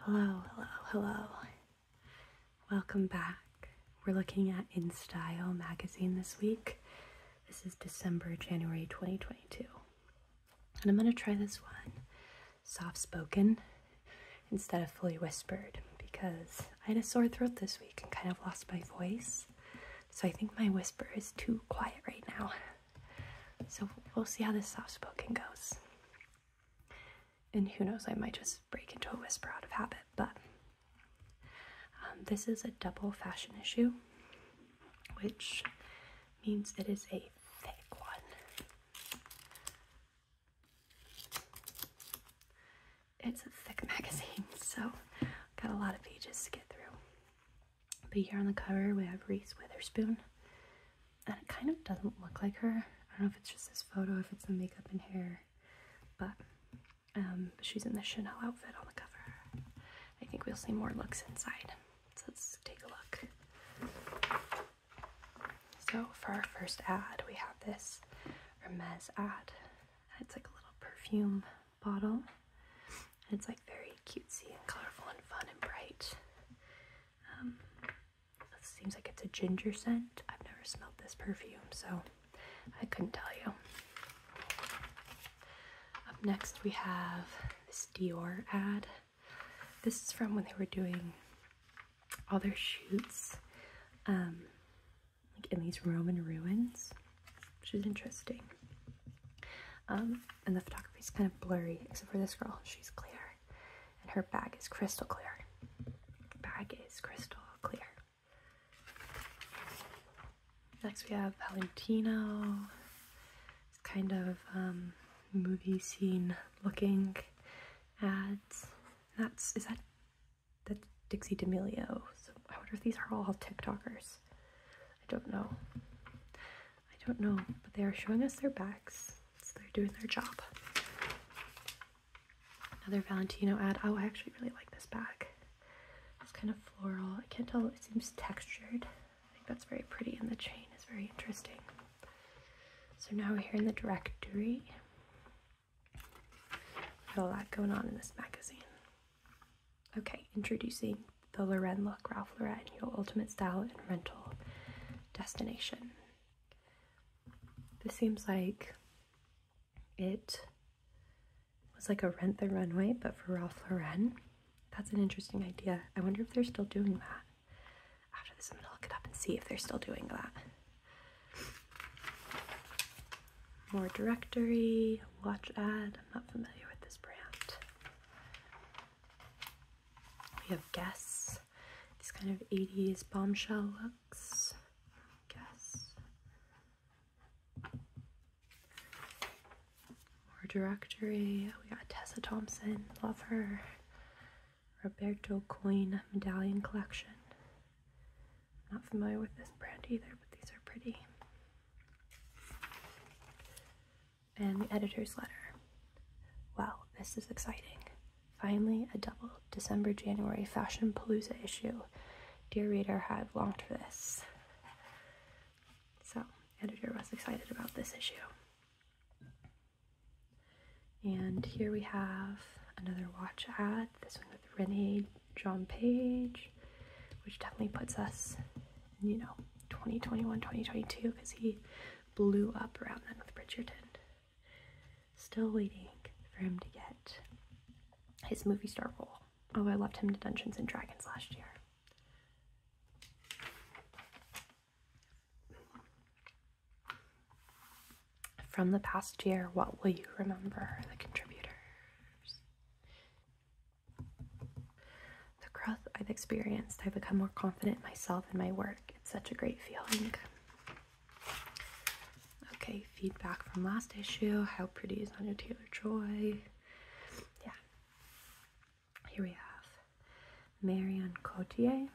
Hello, hello, hello. Welcome back. We're looking at In Style magazine this week. This is December, January 2022. And I'm going to try this one soft spoken instead of fully whispered because I had a sore throat this week and kind of lost my voice. So I think my whisper is too quiet right now. So we'll see how this soft spoken goes. And who knows, I might just break into a whisper out of habit, but um, this is a double fashion issue, which means it is a thick one. It's a thick magazine, so got a lot of pages to get through. But here on the cover, we have Reese Witherspoon, and it kind of doesn't look like her. I don't know if it's just this photo, if it's the makeup and hair, but um, she's in the Chanel outfit on the cover. I think we'll see more looks inside. let's take a look. So for our first ad, we have this Hermes ad. It's like a little perfume bottle. And it's like very cutesy and colorful and fun and bright. Um, seems like it's a ginger scent. I've never smelled this perfume, so I couldn't tell you. Up next, we have this Dior ad. This is from when they were doing all their shoots um, like in these Roman ruins, which is interesting. Um, and the photography is kind of blurry, except for this girl. She's clear and her bag is crystal clear. Bag is crystal clear. Next, we have Valentino. It's kind of um, movie scene looking ads. That's is that that Dixie D'Amelio. So I wonder if these are all TikTokers. I don't know. I don't know, but they are showing us their backs. So they're doing their job. Another Valentino ad. Oh, I actually really like this bag. It's kind of floral. I can't tell, it seems textured. I think that's very pretty and the chain is very interesting. So now we're here in the directory. Got a lot going on in this magazine. Okay, introducing the Loren look, Ralph Lauren, your ultimate style and rental destination. This seems like it was like a Rent the Runway, but for Ralph Lauren. That's an interesting idea. I wonder if they're still doing that. After this, I'm gonna look it up and see if they're still doing that. More directory, watch ad. I'm not familiar with this brand. We have guests looks. These kind of 80s bombshell looks, I guess. More directory. We got Tessa Thompson, love her. Roberto Coin Medallion Collection. I'm not familiar with this brand either, but these are pretty. And the editor's letter. Wow, this is exciting. Finally, a double December January Fashion Palooza issue. Dear reader, I've longed for this. So, editor was excited about this issue. And here we have another watch ad, this one with René John Page, which definitely puts us, you know, 2021, 2022, because he blew up around then with Bridgerton. Still waiting for him to get his movie star role. Oh, I loved him to Dungeons and Dragons last year. From the past year, what will you remember? The contributors. The growth I've experienced, I've become more confident myself in my work. It's such a great feeling. Okay, feedback from last issue. How pretty is Anna Taylor Joy? Yeah. Here we have Marianne Cotier.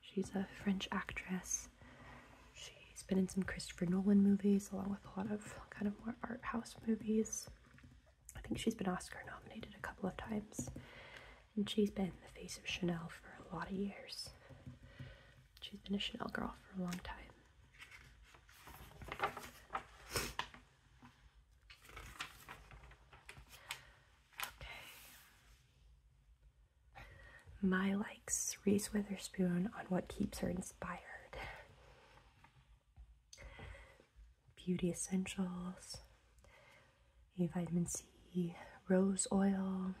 She's a French actress. She's been in some Christopher Nolan movies, along with a lot of kind of more art house movies. I think she's been Oscar nominated a couple of times and she's been the face of Chanel for a lot of years. She's been a Chanel girl for a long time. Okay. My likes Reese Witherspoon on what keeps her inspired. Beauty Essentials, a vitamin C rose oil,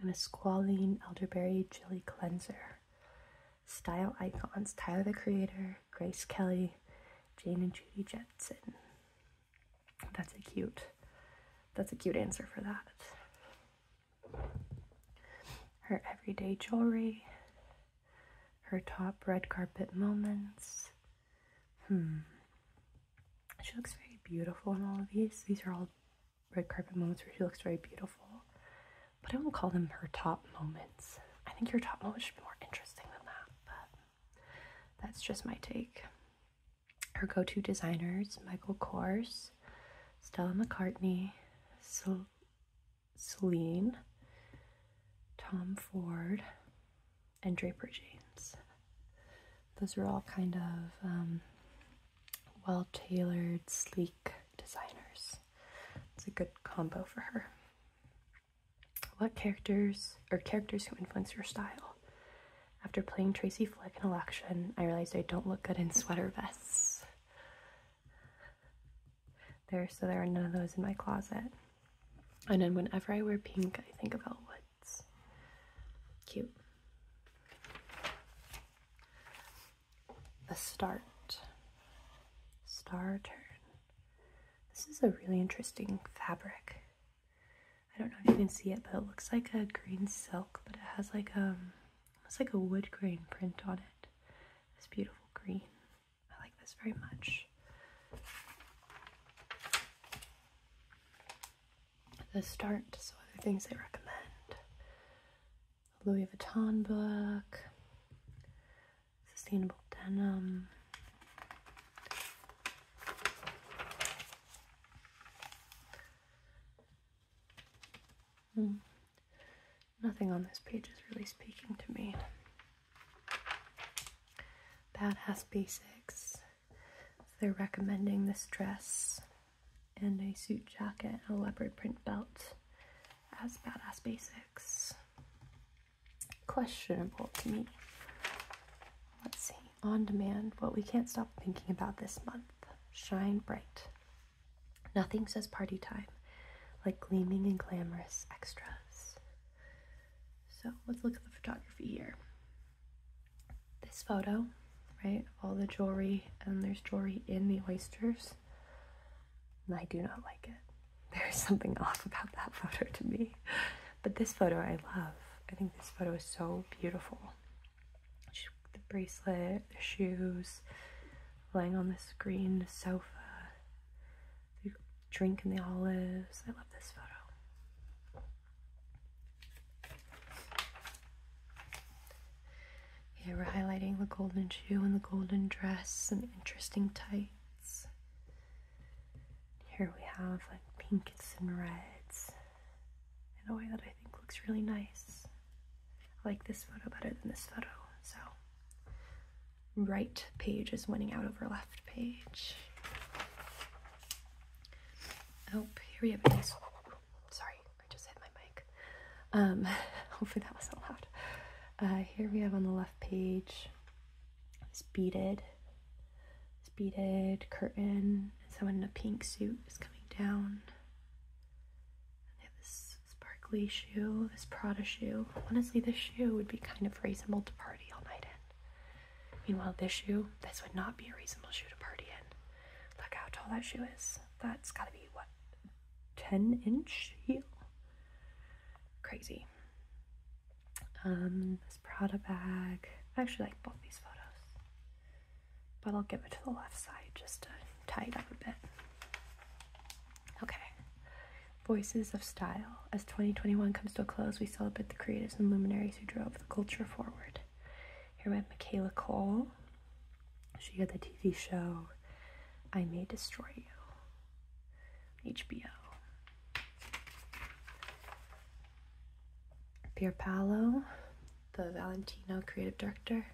and a squalene elderberry jelly cleanser. Style icons Tyler the Creator, Grace Kelly, Jane and Judy Jetson. That's a cute that's a cute answer for that. Her everyday jewelry, her top red carpet moments. Hmm. She looks very beautiful in all of these. These are all red carpet moments where she looks very beautiful. But I won't call them her top moments. I think your top moments should be more interesting than that, but that's just my take. Her go to designers Michael Kors, Stella McCartney, Cel- Celine, Tom Ford, and Draper Jeans. Those were all kind of um, well tailored, sleek designers. It's a good combo for her. What characters or characters who influence your style? After playing Tracy Flick in election, I realized I don't look good in sweater vests. There, so there are none of those in my closet. And then whenever I wear pink, I think about what cute. A start. Star turn. This is a really interesting fabric. I don't know if you can see it, but it looks like a green silk, but it has like um it's like a wood grain print on it. This beautiful green. I like this very much the start, so other things they recommend. A Louis Vuitton book, sustainable denim. Hmm. Nothing on this page is really speaking to me. Badass Basics. So they're recommending this dress and a suit jacket and a leopard print belt as badass basics. Questionable to me. Let's see. On demand, what we can't stop thinking about this month. Shine bright. Nothing says party time like gleaming and glamorous extras. So let's look at the photography here this photo, right, all the jewelry, and there's jewelry in the oysters. I do not like it. There's something off about that photo to me. But this photo I love. I think this photo is so beautiful. The bracelet, the shoes, laying on this green sofa, Drinking the olives. I love this photo. Yeah, we're highlighting the golden shoe and the golden dress, some interesting tights. Here we have like pinks and reds in a way that I think looks really nice. I like this photo better than this photo, so right page is winning out over left page. Oh, here we have a nice. Sorry, I just hit my mic. Um, hopefully that wasn't loud. Uh, here we have on the left page this beaded, this beaded curtain. Someone in a pink suit is coming down. they have this sparkly shoe, this Prada shoe. Honestly, this shoe would be kind of reasonable to party all night in. Meanwhile, this shoe, this would not be a reasonable shoe to party in. Look how tall that shoe is. That's gotta be what, 10 inch heel? Crazy. Um, this Prada bag. I actually like both these photos. But I'll give it to the left side just to tie it up a bit. Okay. Voices of Style. As 2021 comes to a close, we celebrate the creatives and luminaries who drove the culture forward. Here with Michaela Cole. She had the TV show I May Destroy You, HBO. Pierre Paolo, the Valentino creative director,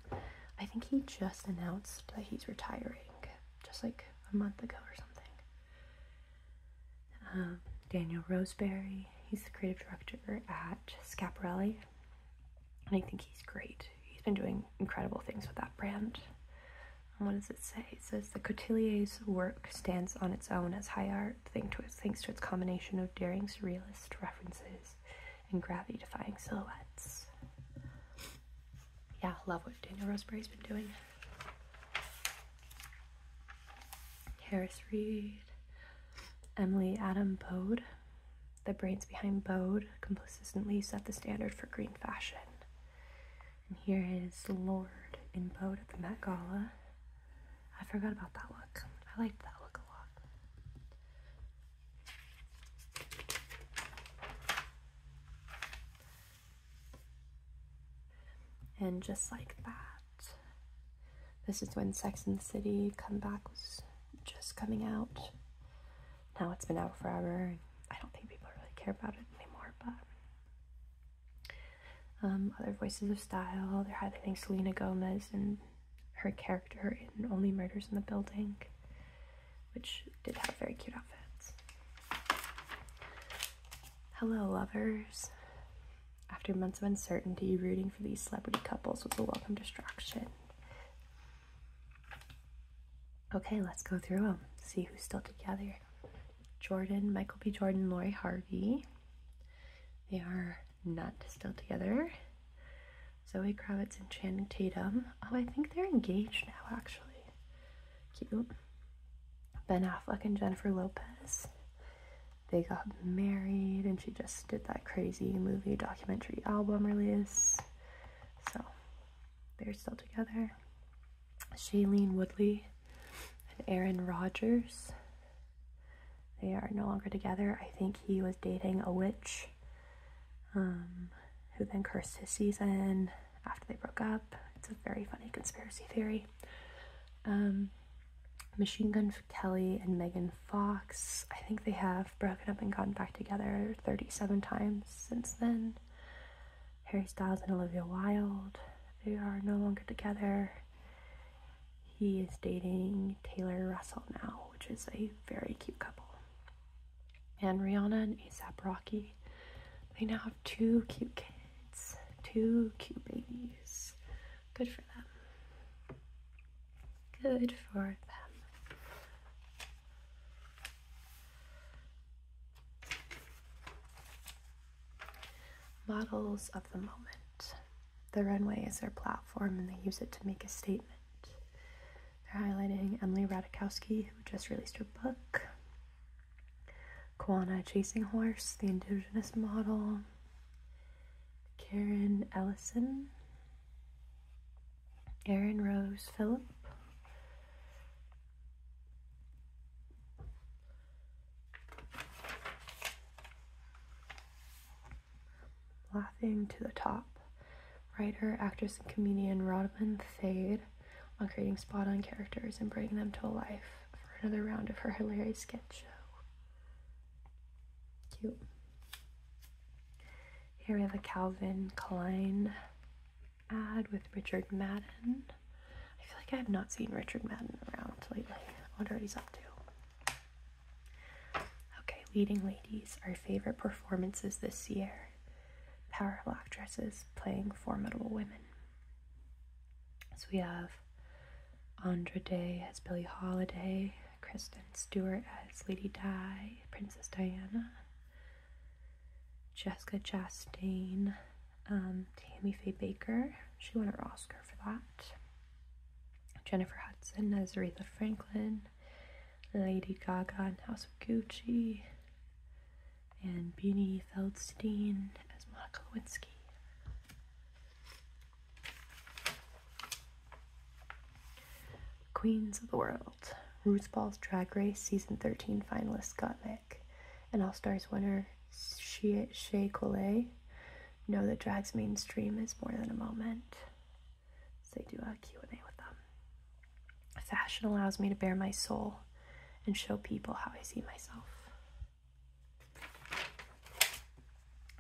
I think he just announced that he's retiring just like a month ago or something. Um, Daniel Roseberry. He's the creative director at Scaparelli, and I think he's great. He's been doing incredible things with that brand. And what does it say? It says the Cotilier's work stands on its own as high art, thanks to its combination of daring surrealist references and gravity-defying silhouettes. Yeah, love what Daniel Roseberry's been doing. Harris Reed, Emily Adam Bode. The brains behind Bode consistently set the standard for green fashion. And here is Lord in Bode at the Met Gala. I forgot about that look. I liked that look a lot. And just like that. This is when Sex and the City comeback was just coming out. Now it's been out forever. I don't think people really care about it anymore, but um, other voices of style. They're highlighting Selena Gomez and her character in Only Murders in the Building, which did have very cute outfits. Hello, lovers. After months of uncertainty, rooting for these celebrity couples was a welcome distraction. Okay, let's go through them. See who's still together. Jordan, Michael B. Jordan, Lori Harvey. They are not still together. Zoe Kravitz and Channing Tatum. Oh, I think they're engaged now, actually. Cute. Ben Affleck and Jennifer Lopez they got married and she just did that crazy movie documentary album release. So they're still together. Shailene Woodley and Aaron Rodgers. They are no longer together. I think he was dating a witch um, who then cursed his season after they broke up. It's a very funny conspiracy theory. Um, Machine Gun Kelly and Megan Fox. I think they have broken up and gotten back together 37 times since then. Harry Styles and Olivia Wilde. They are no longer together. He is dating Taylor Russell now, which is a very cute couple. And Rihanna and ASAP Rocky. They now have two cute kids, two cute babies. Good for them. Good for them. Models of the moment. The runway is their platform and they use it to make a statement. They're highlighting Emily Radikowski, who just released her book, Koana Chasing Horse, the Indigenous Model, Karen Ellison, Erin Rose Phillip, Laughing to the Top, writer, actress, and comedian Rodman Thade on creating spot on characters and bringing them to life for another round of her hilarious sketch show. Cute. Here we have a Calvin Klein ad with Richard Madden. I feel like I have not seen Richard Madden around lately. I wonder what he's up to. Okay, leading ladies, our favorite performances this year. Powerful actresses playing formidable women. So we have Andra Day as Billie Holiday, Kristen Stewart as Lady Di, Princess Diana, Jessica Chastain, um, Tammy Faye Baker. She won her Oscar for that. Jennifer Hudson as Aretha Franklin, Lady Gaga in House of Gucci, and Beanie Feldstein as Monica Lewinsky. Queens of the World. RuPaul's Drag Race Season 13 finalist Scott Mick. An All Stars winner, Shea, Cole Know that drag's mainstream is more than a moment. So they do a Q&A with them. Fashion allows me to bare my soul and show people how I see myself.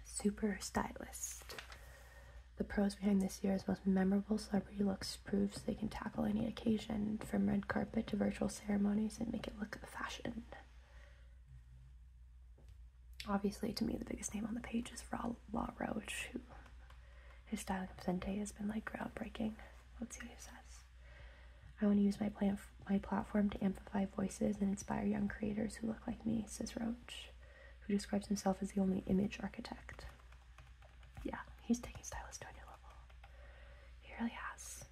Super Stylist. The pros behind this year's most memorable celebrity looks prove they can tackle any occasion, from red carpet to virtual ceremonies, and make it look fashion. Obviously, to me, the biggest name on the page is Ra La Roche, who his styling of Zendaya has been like groundbreaking. Let's see what he says. I want to use my plan, my platform to amplify voices and inspire young creators who look like me, says Roach who describes himself as the only image architect. Yeah, he's taking stylus to a new level. He really has.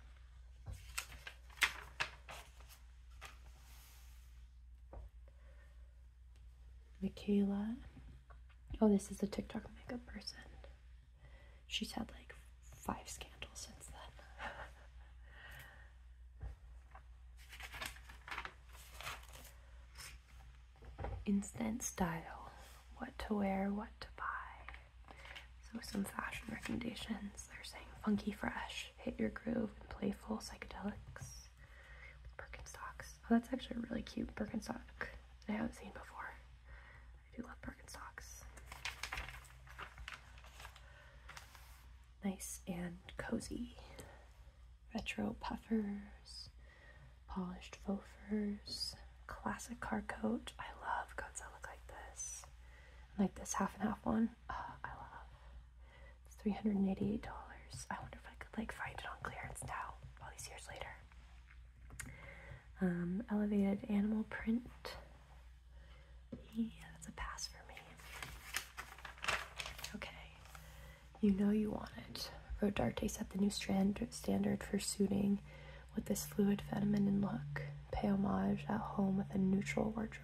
Michaela. Oh, this is the TikTok makeup person. She's had like five scandals since then. Instant style, what to wear, what to buy. So, some fashion recommendations. They're saying funky fresh, hit your groove, and playful psychedelics with Birkenstocks. Oh, that's actually a really cute Birkenstock I haven't seen before. I do love Birkenstocks. Nice and cozy retro puffers, polished faux classic car coat. I love coats that look like this. Like this half and half one. Oh, I love. It's $388. I wonder if I could like find it on clearance now, all these years later. Um, elevated animal print. Yeah, that's a pass for me. Okay. You know you want it. Rodarte set the new standard for suiting with this fluid feminine look. Pay homage at home with a neutral wardrobe.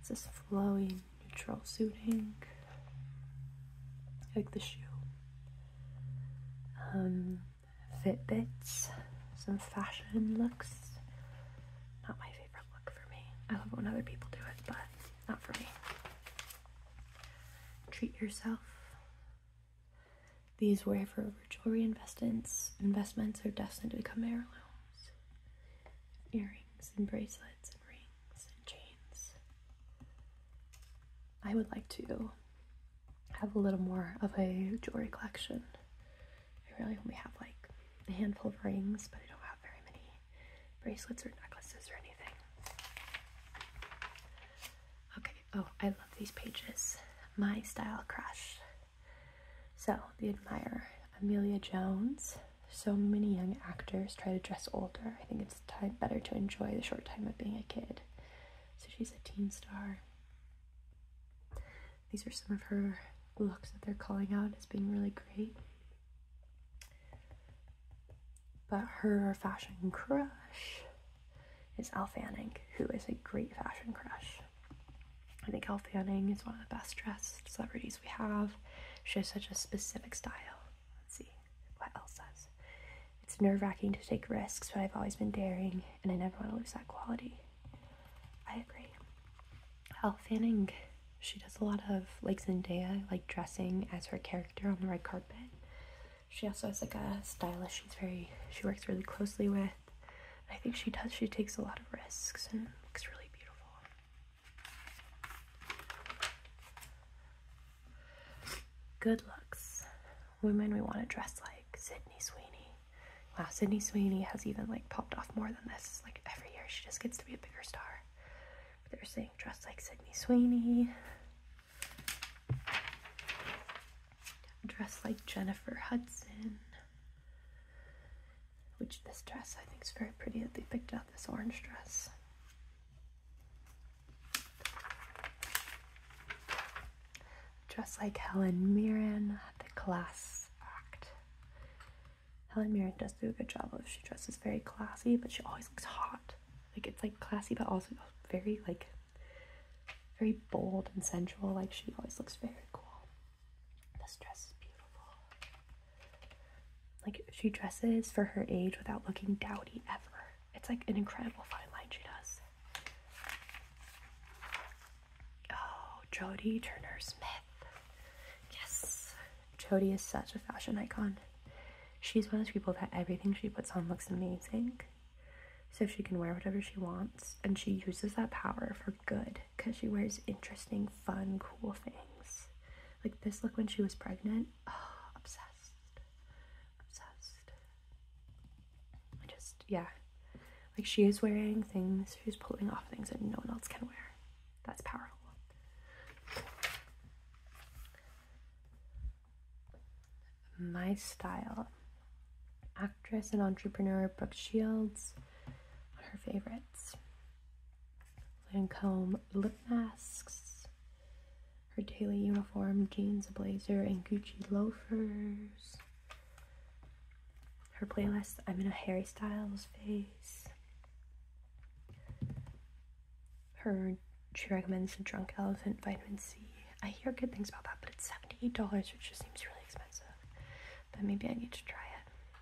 It's this flowy, neutral suiting. like the shoe. Um, Fitbits, some fashion looks. Not my favorite look for me. I love when other people do it, but not for me. Treat yourself. These were for jewelry investments. Investments are destined to become heirlooms. Earrings and bracelets and rings and chains. I would like to have a little more of a jewelry collection. I really only have like a handful of rings, but I don't have very many bracelets or necklaces or anything. Okay, oh, I love these pages. My style crush. So, the admirer, Amelia Jones. So many young actors try to dress older. I think it's time better to enjoy the short time of being a kid. So she's a teen star. These are some of her looks that they're calling out as being really great. But her fashion crush is Al Fanning, who is a great fashion crush. I think Al Fanning is one of the best dressed celebrities we have. She has such a specific style. Let's see what else says. It's nerve wracking to take risks, but I've always been daring and I never want to lose that quality. I agree. Al Fanning she does a lot of like Zendaya, like dressing as her character on the red carpet. She also has like a stylist she's very she works really closely with. I think she does she takes a lot of risks and looks really beautiful. Good looks. Women we want to dress like Sydney Sweeney. Wow, Sydney Sweeney has even like popped off more than this. Like every year she just gets to be a bigger star. They're saying dress like Sydney Sweeney, dress like Jennifer Hudson. Which this dress I think is very pretty that they picked out this orange dress. Dress like Helen Mirren, the class act. Helen Mirren does do a good job of she dresses very classy, but she always looks hot. Like it's like classy but also very like very bold and sensual. Like she always looks very cool. This dress is beautiful. Like she dresses for her age without looking dowdy ever. It's like an incredible fine line she does. Oh, Jodie Turner Smith. Yes. Jodie is such a fashion icon. She's one of those people that everything she puts on looks amazing. So she can wear whatever she wants, and she uses that power for good because she wears interesting, fun, cool things. Like this look when she was pregnant. Oh, obsessed. Obsessed. I just, yeah. Like she is wearing things, she's pulling off things that no one else can wear. That's powerful. My style. Actress and entrepreneur Brooke Shields. Her favorites. Lancome lip masks. Her daily uniform, jeans, a blazer, and Gucci loafers. Her playlist, I'm in a Harry Styles phase her she recommends the drunk elephant vitamin C. I hear good things about that, but it's $78, which just seems really expensive. But maybe I need to try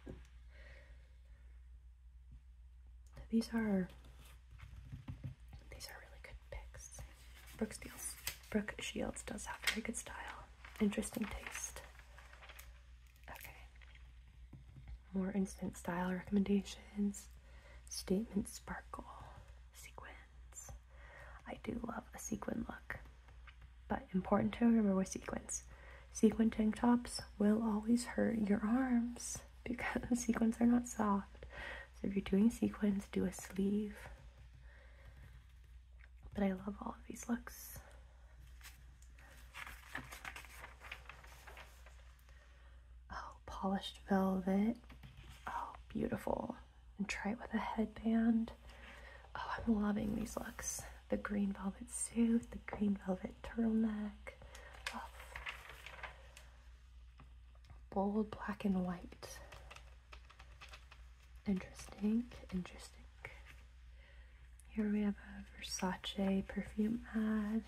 it. These are these are really good picks. Brooke Shields, Brooke Shields does have very good style. Interesting taste. Okay more instant style recommendations. Statement sparkle sequins. I do love a sequin look, but important to remember with sequins. Sequin tank tops will always hurt your arms because sequins are not soft. So if you're doing sequins, do a sleeve. But I love all of these looks. Oh, polished velvet. Oh, beautiful. And try it with a headband. Oh, I'm loving these looks. The green velvet suit, the green velvet turtleneck. Bold black and white. Interesting, interesting. Here we have a Versace perfume ad.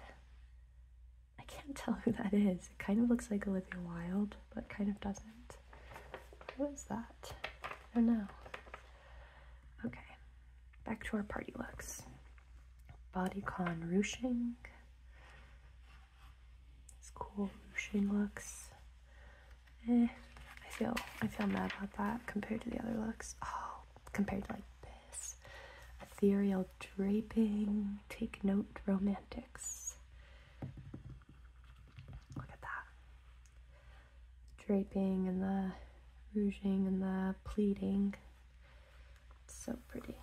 I can't tell who that is. It kind of looks like Olivia Wilde, but kind of doesn't. Who is that? I don't know. Okay, back to our party looks. Bodycon ruching. It's cool ruching looks. Eh, I feel I feel mad about that compared to the other looks. Oh, compared to like this ethereal draping, take note romantics. Look at that draping and the rouging and the pleating. so pretty,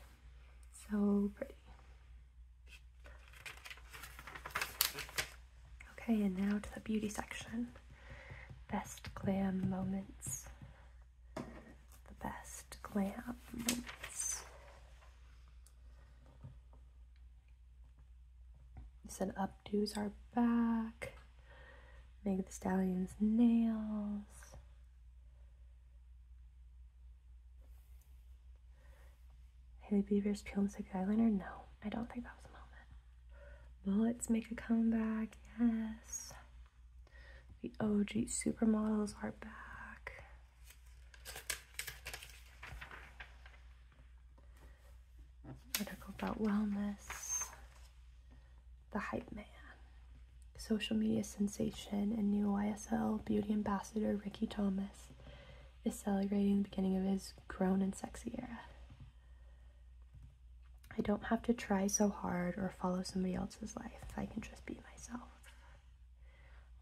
so pretty. Okay, and now to the beauty section. Best glam moments the best glam You said updos are back. Make the Stallion's nails. Haley Beaver's peel and stick eyeliner? No, I don't think that was a moment. Bullets make a comeback, yes. The OG supermodels are back. Article about wellness. The hype man. Social media sensation and new ISL beauty ambassador Ricky Thomas is celebrating the beginning of his grown and sexy era. I don't have to try so hard or follow somebody else's life. if I can just be myself.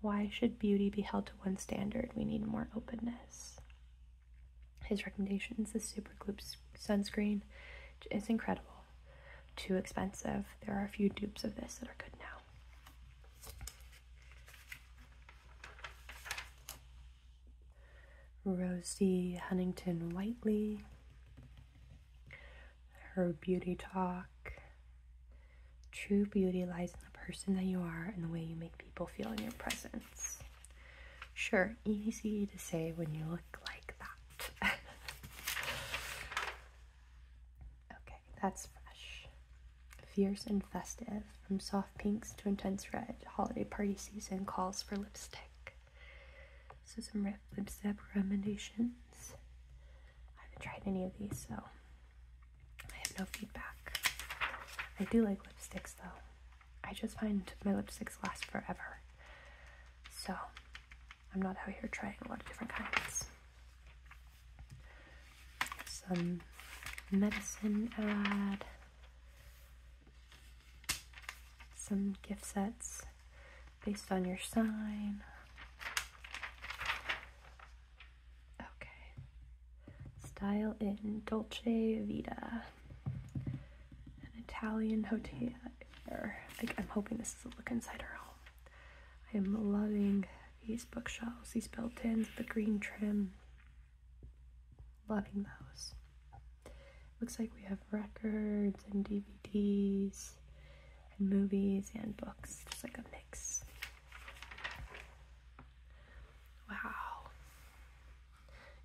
Why should beauty be held to one standard? We need more openness. His recommendation is the Superglue sunscreen. It's incredible. Too expensive. There are a few dupes of this that are good now. Rosie Huntington Whiteley her beauty talk. True beauty lies in the person that you are and the way you make people feel in your presence. Sure, easy to say when you look like that. okay, that's fresh. Fierce and festive, from soft pinks to intense red, holiday party season calls for lipstick. So, some lipstick recommendations. I haven't tried any of these, so I have no feedback. I do like lipsticks though. I just find my lipsticks last forever. So I'm not out here trying a lot of different kinds. Some medicine ad. Some gift sets based on your sign. Okay. Style in Dolce Vita. An Italian hotel. I'm hoping this is a look inside her home. I am loving these bookshelves, these built-ins, the green trim. Loving those. Looks like we have records and DVDs movies and books. Just like a mix. Wow.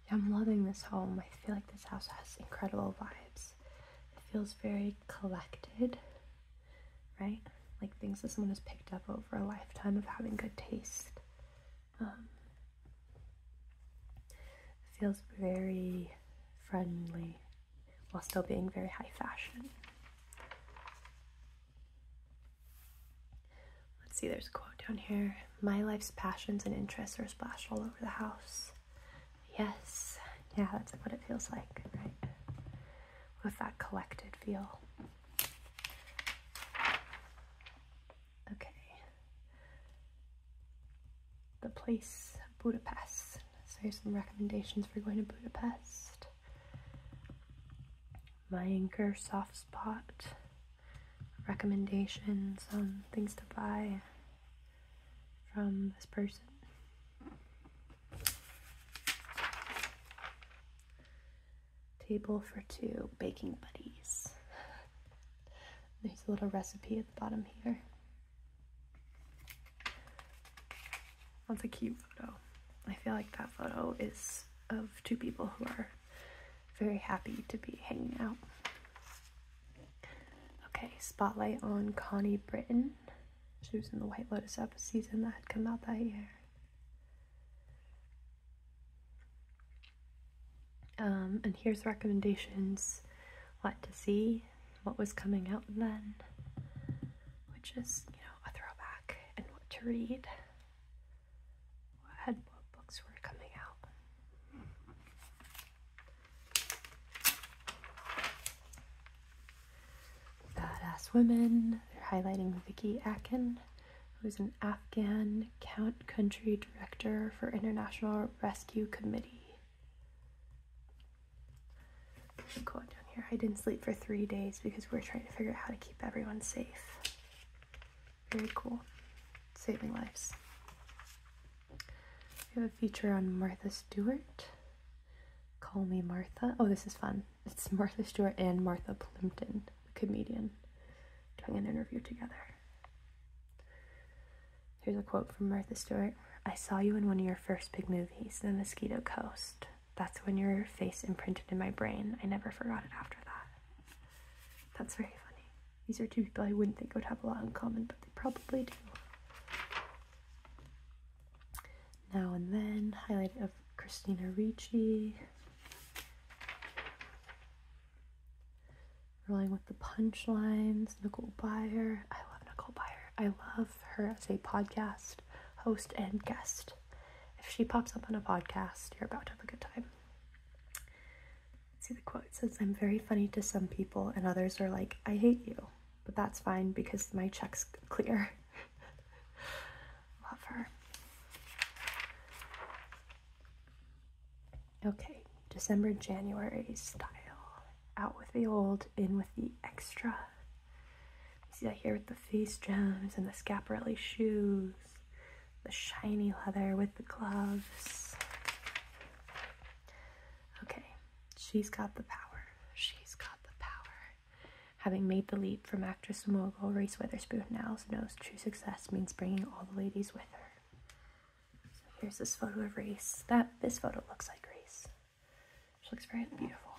Yeah, I'm loving this home. I feel like this house has incredible vibes. It feels very collected, right? Like things that someone has picked up over a lifetime of having good taste. Um, feels very friendly while still being very high fashion. Let's see, there's a quote down here. My life's passions and interests are splashed all over the house. Yes, yeah, that's what it feels like, right? With that collected feel. Okay. The place, Budapest. Say some recommendations for going to Budapest. My anchor soft spot. Recommendations on things to buy from this person. Table for two baking buddies. There's a little recipe at the bottom here. That's a cute photo. I feel like that photo is of two people who are very happy to be hanging out. Okay, spotlight on Connie Britton. She was in the White Lotus episode that had come out that year. Um, and here's recommendations what to see what was coming out then, which is, you know, a throwback and what to read, what had what books were coming out. Badass Women, they're highlighting Vicky Akin, who's an Afghan count country director for International Rescue Committee. Going down here. I didn't sleep for three days because we are trying to figure out how to keep everyone safe. Very cool. Saving lives. We have a feature on Martha Stewart. Call me Martha. Oh, this is fun. It's Martha Stewart and Martha Plimpton, the comedian, doing an interview together. Here's a quote from Martha Stewart I saw you in one of your first big movies, The Mosquito Coast. That's when your face imprinted in my brain. I never forgot it after that. That's very funny. These are two people I wouldn't think would have a lot in common, but they probably do. Now and Then, highlight of Christina Ricci. Rolling with the Punchlines, Nicole Byer. I love Nicole Byer. I love her as a podcast host and guest. If she pops up on a podcast, you're about to have a good time. see, the quote says, I'm very funny to some people, and others are like, I hate you. But that's fine because my check's clear. Love her. Okay, December January style out with the old, in with the extra. You see that here with the face gems and the Scaparelli shoes, the shiny leather with the gloves. Okay, she's got the power. She's got the power. Having made the leap from actress to mogul, Reese Witherspoon now knows true success means bringing all the ladies with her. So here's this photo of Reese. That this photo looks like Reese. She looks very beautiful.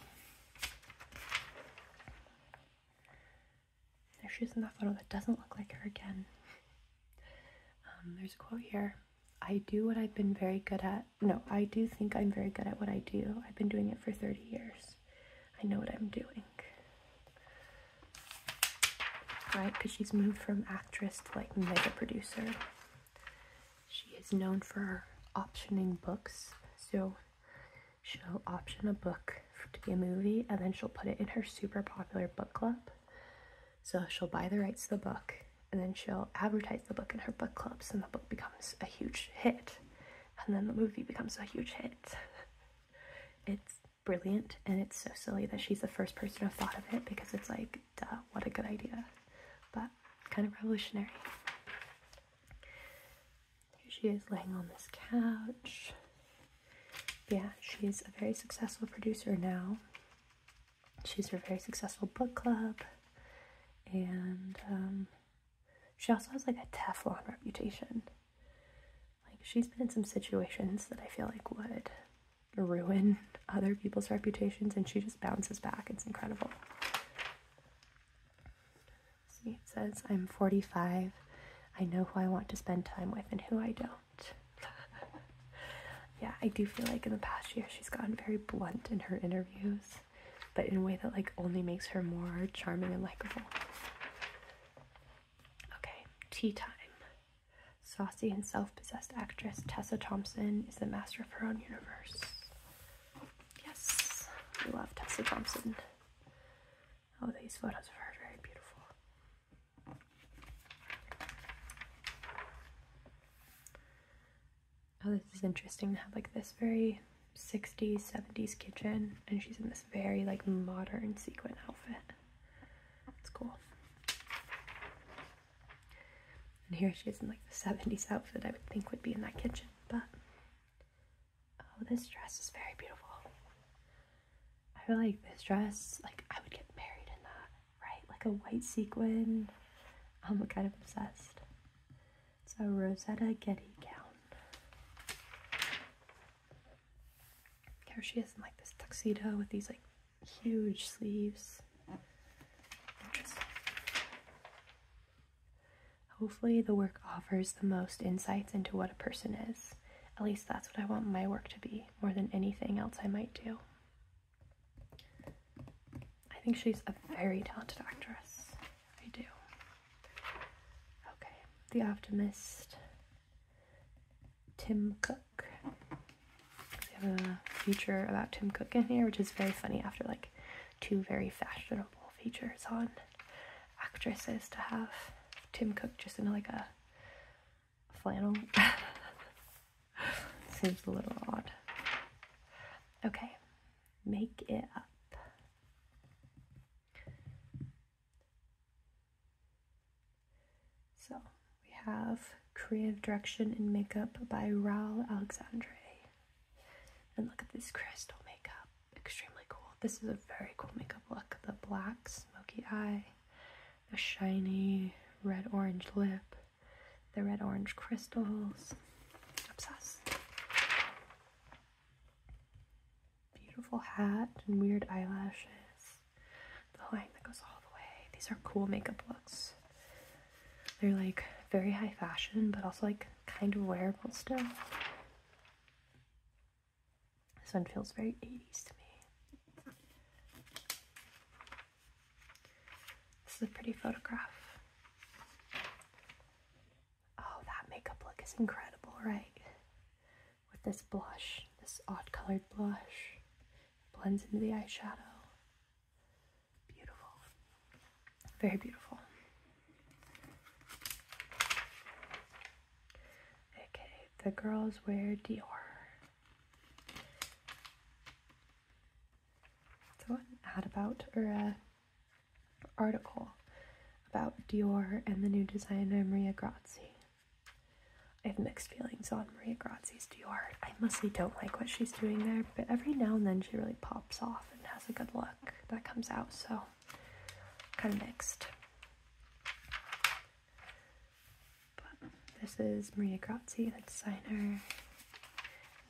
There she is in that photo that doesn't look like her again. Um, there's a quote here. I do what I've been very good at. No, I do think I'm very good at what I do. I've been doing it for 30 years. I know what I'm doing. Right? Because she's moved from actress to like mega producer. She is known for optioning books, so she'll option a book to be a movie and then she'll put it in her super popular book club. So she'll buy the rights to the book and then she'll advertise the book in her book clubs and the book becomes a huge hit. And then the movie becomes a huge hit. it's brilliant and it's so silly that she's the first person to have thought of it because it's like, duh, what a good idea but kind of revolutionary. Here she is laying on this couch. Yeah, she's a very successful producer now. She's her very successful book club, and um, she also has like a Teflon reputation. Like, she's been in some situations that I feel like would ruin other people's reputations, and she just bounces back. It's incredible. See, it says, I'm 45. I know who I want to spend time with and who I don't. yeah, I do feel like in the past year she's gotten very blunt in her interviews, but in a way that like only makes her more charming and likable. Okay, tea time. Saucy and self-possessed actress Tessa Thompson is the master of her own universe. Yes, we love Tessa Thompson. Oh, these photos are very beautiful. Oh, this is interesting to have like this very 60s, 70s kitchen, and she's in this very like modern sequin outfit. That's cool. And here she is in like the 70s outfit I would think would be in that kitchen, but oh, this dress is very beautiful. I feel like this dress, like I would get married in that, right? Like a white sequin. I'm kind of obsessed. It's a Rosetta Getty gown. Here she is in like this tuxedo with these like huge sleeves. Hopefully, the work offers the most insights into what a person is. At least that's what I want my work to be, more than anything else I might do. I think she's a very talented actress. I do. Okay, The Optimist, Tim Cook. We have a feature about Tim Cook in here, which is very funny after like two very fashionable features on actresses to have. Tim Cook just in like a flannel. Seems a little odd. Okay, make it up. So we have Creative Direction and Makeup by Raul Alexandre. And look at this crystal makeup. Extremely cool. This is a very cool makeup look. The black smoky eye, the shiny red orange lip, the red orange crystals. Obsessed. Beautiful hat and weird eyelashes. The line that goes all the way. These are cool makeup looks. They're like very high fashion, but also like kind of wearable stuff. This one feels very 80s to me. This is a pretty photograph. Oh, that makeup look is incredible, right? With this blush, this odd colored blush, blends into the eyeshadow. Beautiful. Very beautiful. Okay, the girls wear Dior. So an ad about or a uh, article about Dior and the new designer Maria Grazzi. I have mixed feelings on Maria Grazzi's Dior. I mostly don't like what she's doing there, but every now and then she really pops off has a good look that comes out, so kind of mixed. But this is Maria Grazzi, the designer.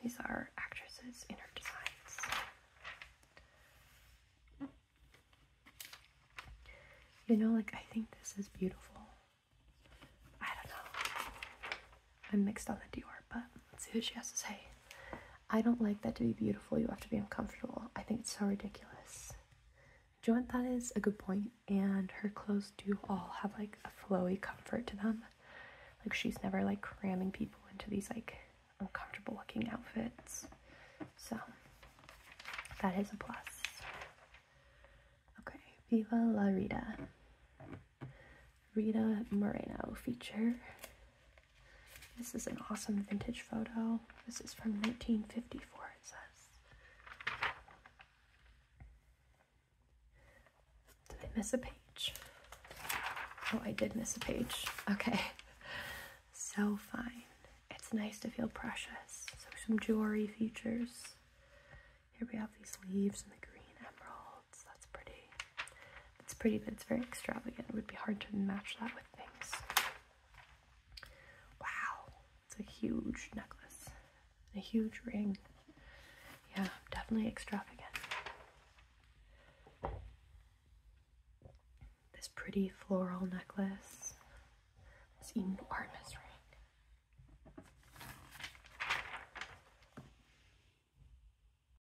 These are actresses in her designs. You know, like, I think this is beautiful. I don't know. I'm mixed on the Dior, but let's see what she has to say. I don't like that to be beautiful, you have to be uncomfortable. I think it's so ridiculous. Joanne, that is a good point, and her clothes do all have like a flowy comfort to them. Like she's never like cramming people into these like uncomfortable looking outfits. So that is a plus. Okay, Viva La Rita. Rita Moreno feature. This is an awesome vintage photo. This is from 1954, it says. Did I miss a page? Oh, I did miss a page. Okay. So fine. It's nice to feel precious. So some jewelry features. Here we have these leaves and the green emerald golds. That's pretty. It's pretty, but it's very extravagant. It would be hard to match that with things. Wow, it's a huge necklace, a huge ring. Yeah, definitely extravagant. This pretty floral necklace, this enormous ring.